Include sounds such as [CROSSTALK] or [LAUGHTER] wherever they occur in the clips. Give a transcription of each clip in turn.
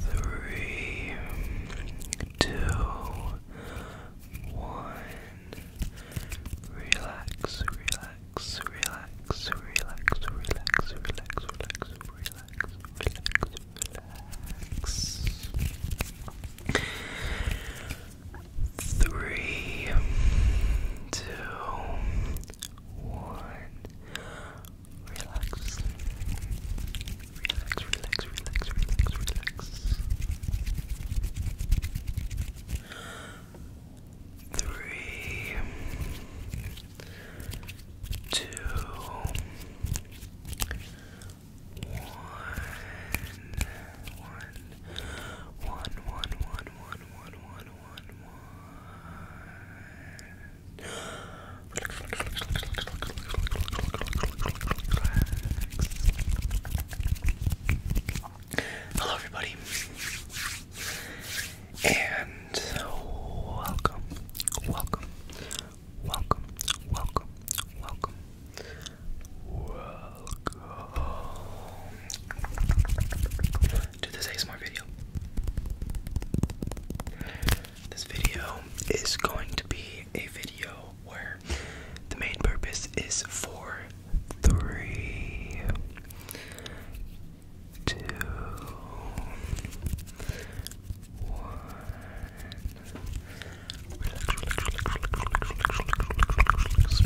Three, two, one. Relax, relax, relax, relax, relax, relax, relax, relax, relax, relax. Three, two, one. Relax. Relax, relax, relax, relax, relax. Three, two, one, one, one, one, one, one, one, one, one, one, one, one. Hello, everybody, and welcome, welcome, welcome, welcome. Welcome alcohol to this smart video. This video is going to be a video where the main purpose is for three, two, one. It's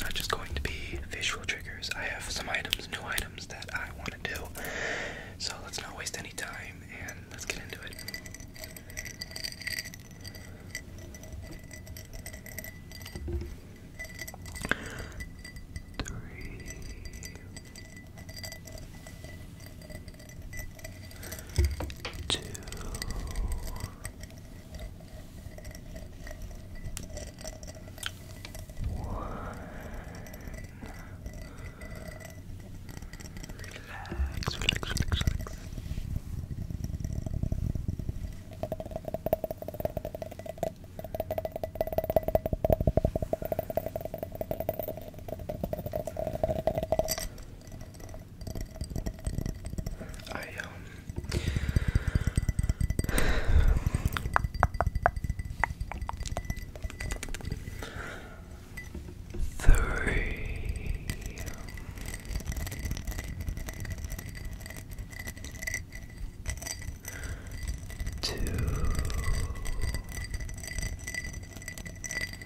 not just going to be visual triggers. I have some items, new items that I want to do. So let's not waste any time and let's get into it. Three two, one. Relax, relax, relax, relax. I um three two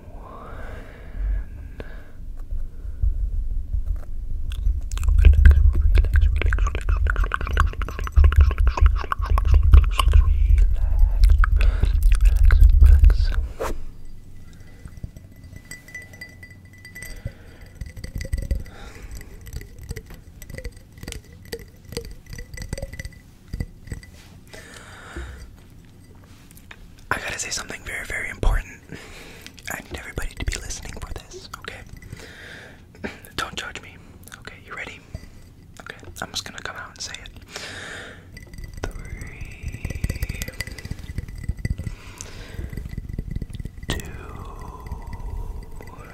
relax, relax. I gotta say something very, very important. I need everybody to be listening for this, okay? Don't judge me. Okay, you ready? Okay, I'm just gonna come out and say it. Three, two, one.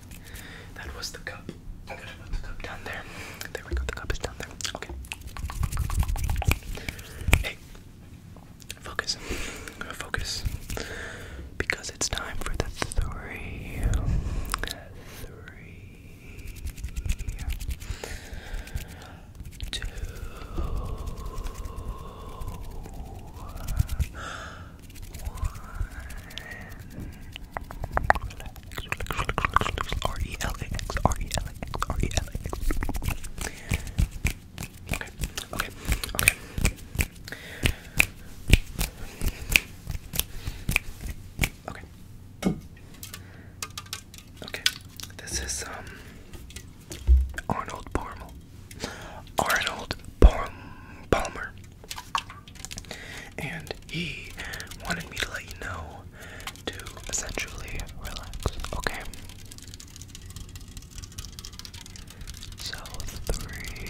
That was the cup. down there. There we go, the cup is down there. Okay. Hey. Focus. Focus. Because it's time for the three. Okay, okay, okay. Okay. Okay. This is um Arnold Palmer. Arnold Palmer. And he wanted me to let you know to essentially relax, okay? So, three.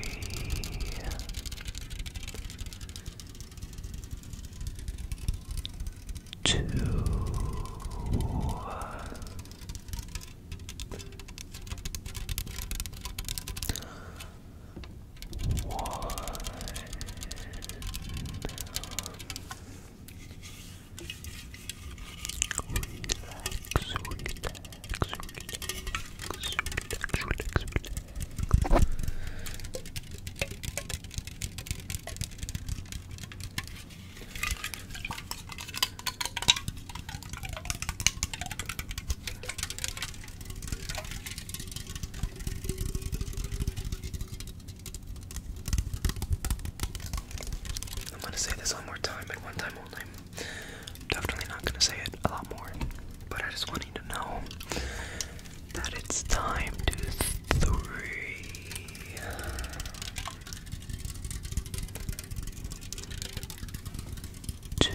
One. Relax, relax, relax, relax, relax, relax. I'm gonna say this one more time and one time only. definitely not gonna say it a lot more, but I just wanted to know that it's time to three two,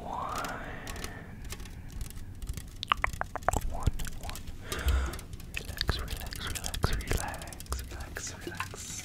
one, one, one. Relax, relax, relax, relax, relax, relax.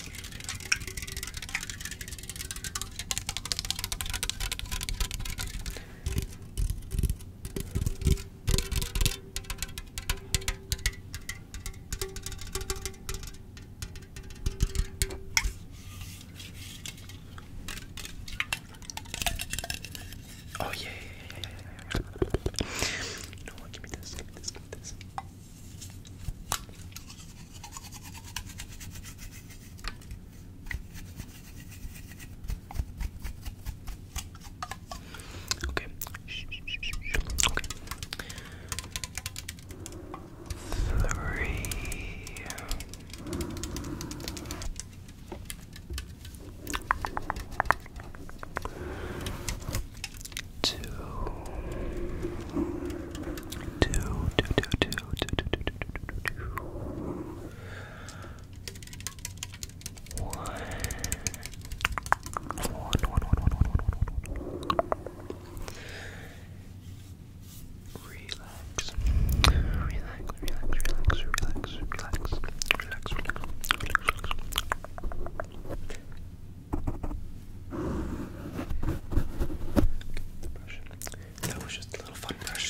Oh yeah, yeah, yeah, yeah, yeah, yeah. No one, give me this, give me this, give me this. Okay. Okay. Three. Two. Two, two, two, two, two, two, two, two, two, two, two. One, one, one, one, one, one, one, one, one. Relax. Relax, relax, relax, relax, relax, relax, relax, That was just a little fun brush.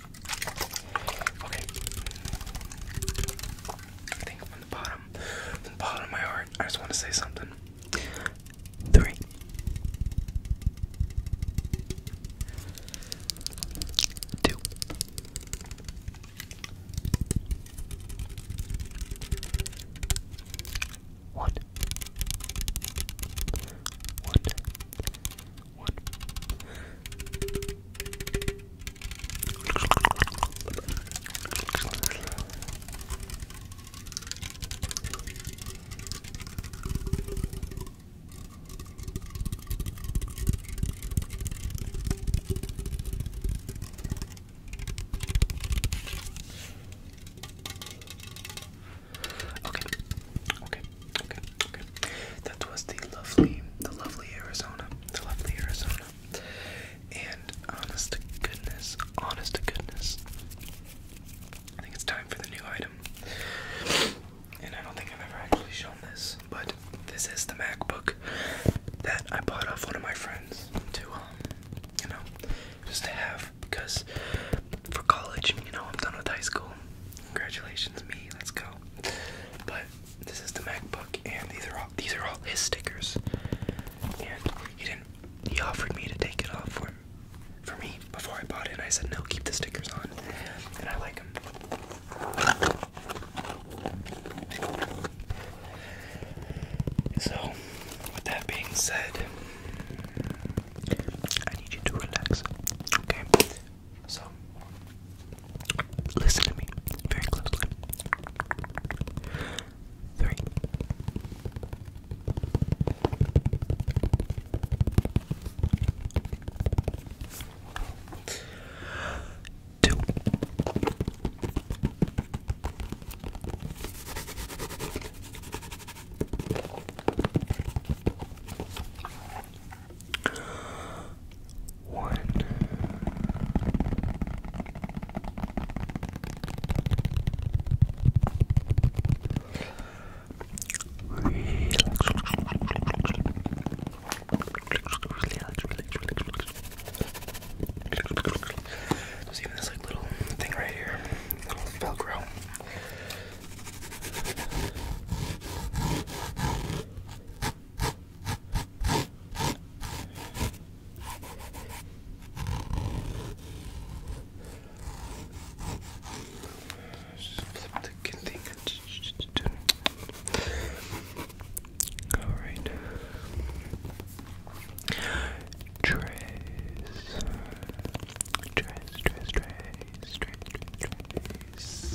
Okay. I think from the bottom, from the bottom of my heart, I just want to say something. Three. One. Okay. Okay. Okay. That was the lovely, the lovely Arizona, the lovely Arizona. And honest to goodness, honest to goodness, I think it's time for the new item. And I don't think I've ever actually shown this, but this is the MacBook that I bought off one of my friends to, um, you know, just to have because for college, you know, I'm done with high school. Congratulations, me, let's go. But this is the MacBook, and these are all these are all his stickers. And he didn't. He offered me to take it off for for me before I bought it. and I said no, keep the stickers on, and I like them. So, with that being said, I need you to relax. Okay. So, listen to me very closely. Three. Two. One. Relax, relax, relax, relax. There's even this like little thing right here, little Velcro. All right. Trace. Trace, trace, trace, trace,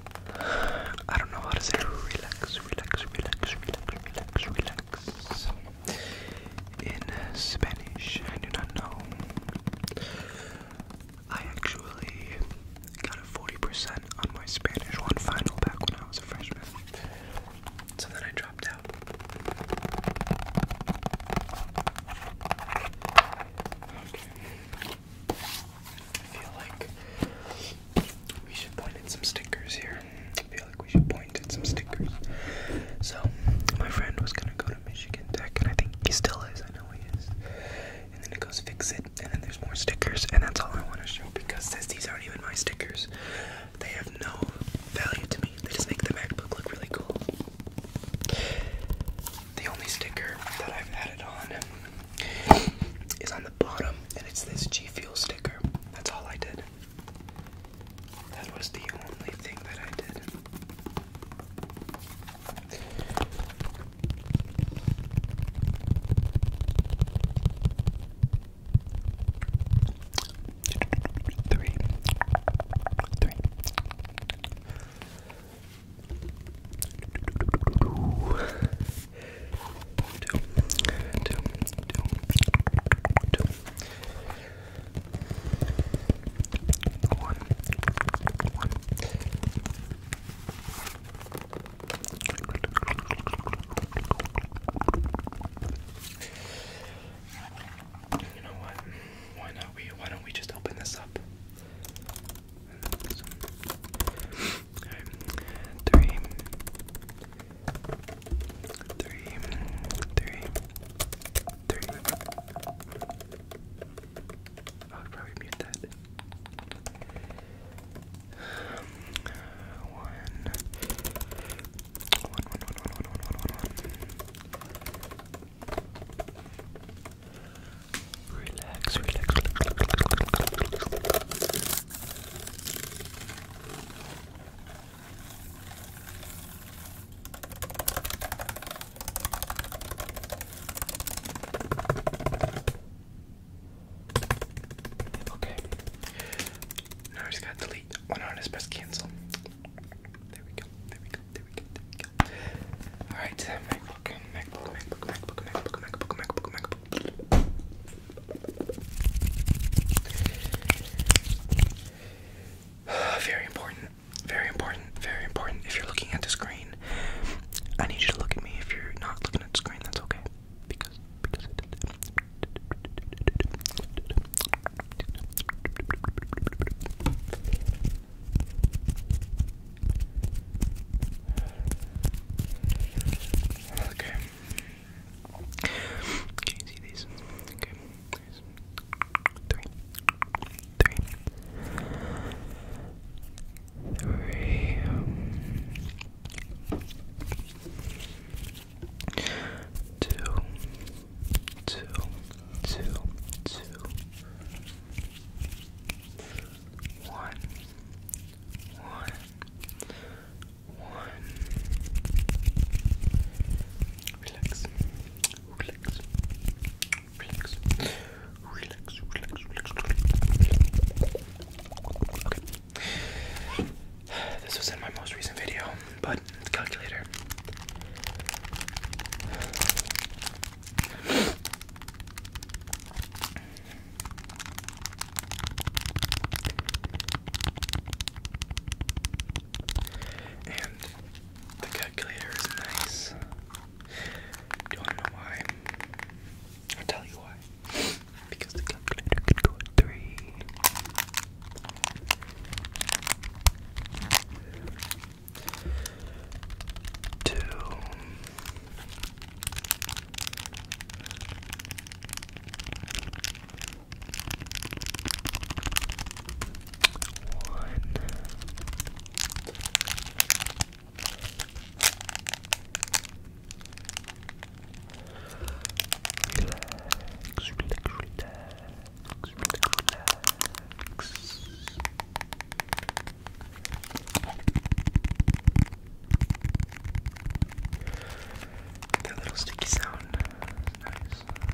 [SIGHS] I don't know how to say relax, relax, relax, relax, relax, relax. In Spanish, I do not know. I actually got a 40% on my Spanish one final back when I was a freshman. So then I dropped out. I feel like we should point at some stickers here. I feel like we should point at some stickers. So, my friend was gonna go to Michigan Tech, and I think he still is. I know he is. And then it goes fix it, and then there's more stickers, and that's all I want to show because this, these aren't even my stickers. They have no value to me. They just make the MacBook look really cool. The only sticker that I've added on is on the bottom, and it's this G Fuel sticker. That's all I did. That was the only thing that I did. Three. Three. You know what? Why not we? Why don't we just open this up? Three, three, three, three. I'll probably mute that. One, one, one, one, one, one, one, one, one. relax, relax, relax. Okay. Now I just gotta delete. Oh no, just press cancel. There we go. There we go. There we go. There we go. Alright, MacBook, MacBook, MacBook, MacBook, MacBook, MacBook, MacBook, [SIGHS] Very important. Very important. Very important. If you're looking at the screen, I need you to look at me. If you're not looking at the screen, that's okay. Because because I Okay. Can you see these? Okay. There's one, one. Relax, relax, relax, relax, relax, relax. Okay. This was in my most recent video, but the calculator. And the calculator is nice. Do you want to know why? I'll tell you why. Because the calculator can go three. Two one. Relax, relax, relax, relax, relax. That little sticky sound is nice. Dirty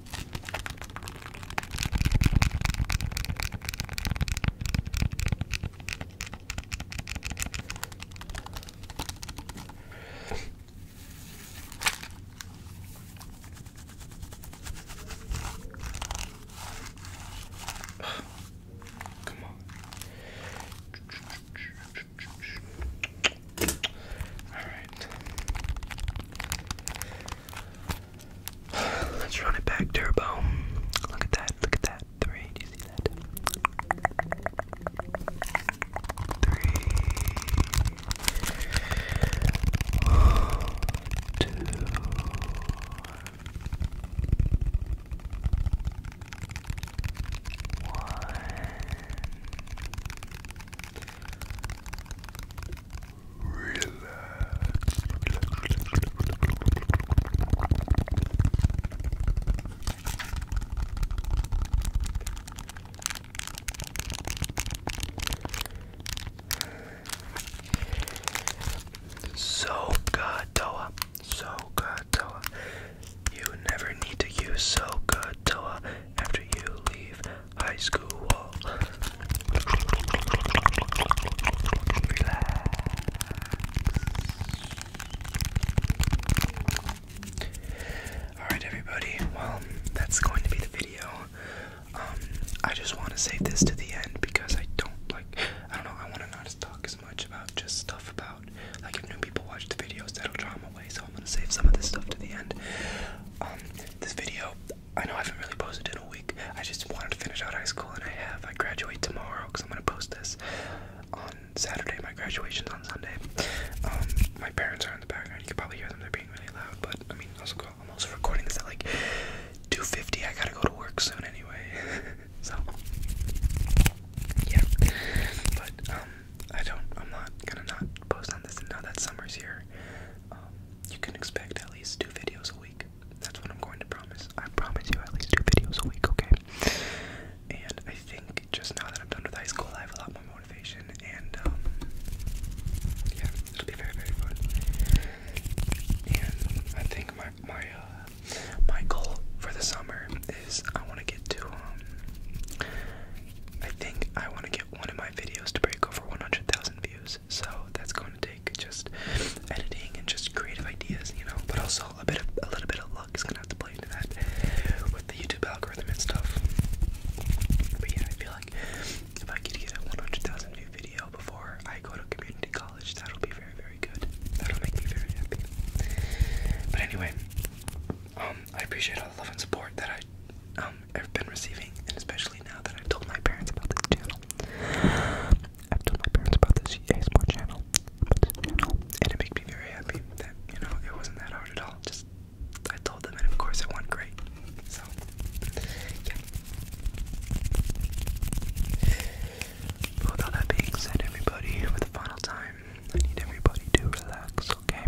Come on. All right. Let's run it back turbo. Look at that, look at that. Three, do you see that? Three, two, one. So good, Toa. So good, Toa. You never need to use so good, Toa, after you leave high school wall. Relax. Alright, everybody, well, that's going to be the video. Um, I just want to save this to the end because I don't like, I don't know, I want to not talk as much about just stuff about, like, new people watch the videos, that'll draw them away, so I'm going to save some of this stuff to the end. Um, this video, I know I haven't really posted in a week. I just wanted to finish out high school, and I have. I graduate tomorrow because I'm gonna post this on Saturday. My graduation's on Sunday. Um, my parents are in the background. You can probably hear them. They're being really loud. But I mean, also, I'm also recording this at like 2:50. I gotta go to work soon anyway. [LAUGHS] so yeah. But um, I don't. I'm not gonna not post on this. And now that summer's here, um, you can expect at least two videos a week. That's what I'm going to promise. I promise you at least two videos a week, okay? And I think just now that I'm done with high school, I have a lot more motivation, and um, yeah, it'll be very, very fun. And I think my my uh, my goal for the summer is I want to get to um, I think I want to get one of my videos to break over 100,000 views. So that's going to take just editing and just creative ideas, you know. But also a bit of a little bit of luck is gonna have to play into that with the YouTube algorithm and stuff. But yeah, I feel like if I could get a 100,000 view video before I go to community college, that'll be very very good. That'll make me very happy. But anyway, um, I appreciate all the love and support that I um, um, I've been receiving, and especially now that I've told my parents about this channel. I've told my parents about this ASMR channel, and it makes me very happy that, you know, it wasn't that hard at all. Just, I told them, and of course it went great. So, yeah. But that being said, everybody, for the final time, I need everybody to relax, okay?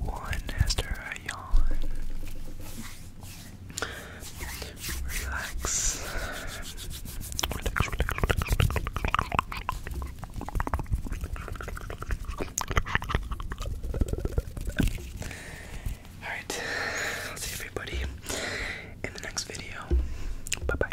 one after a yawn. relax. Alright, I'll see everybody in the next video. Bye bye.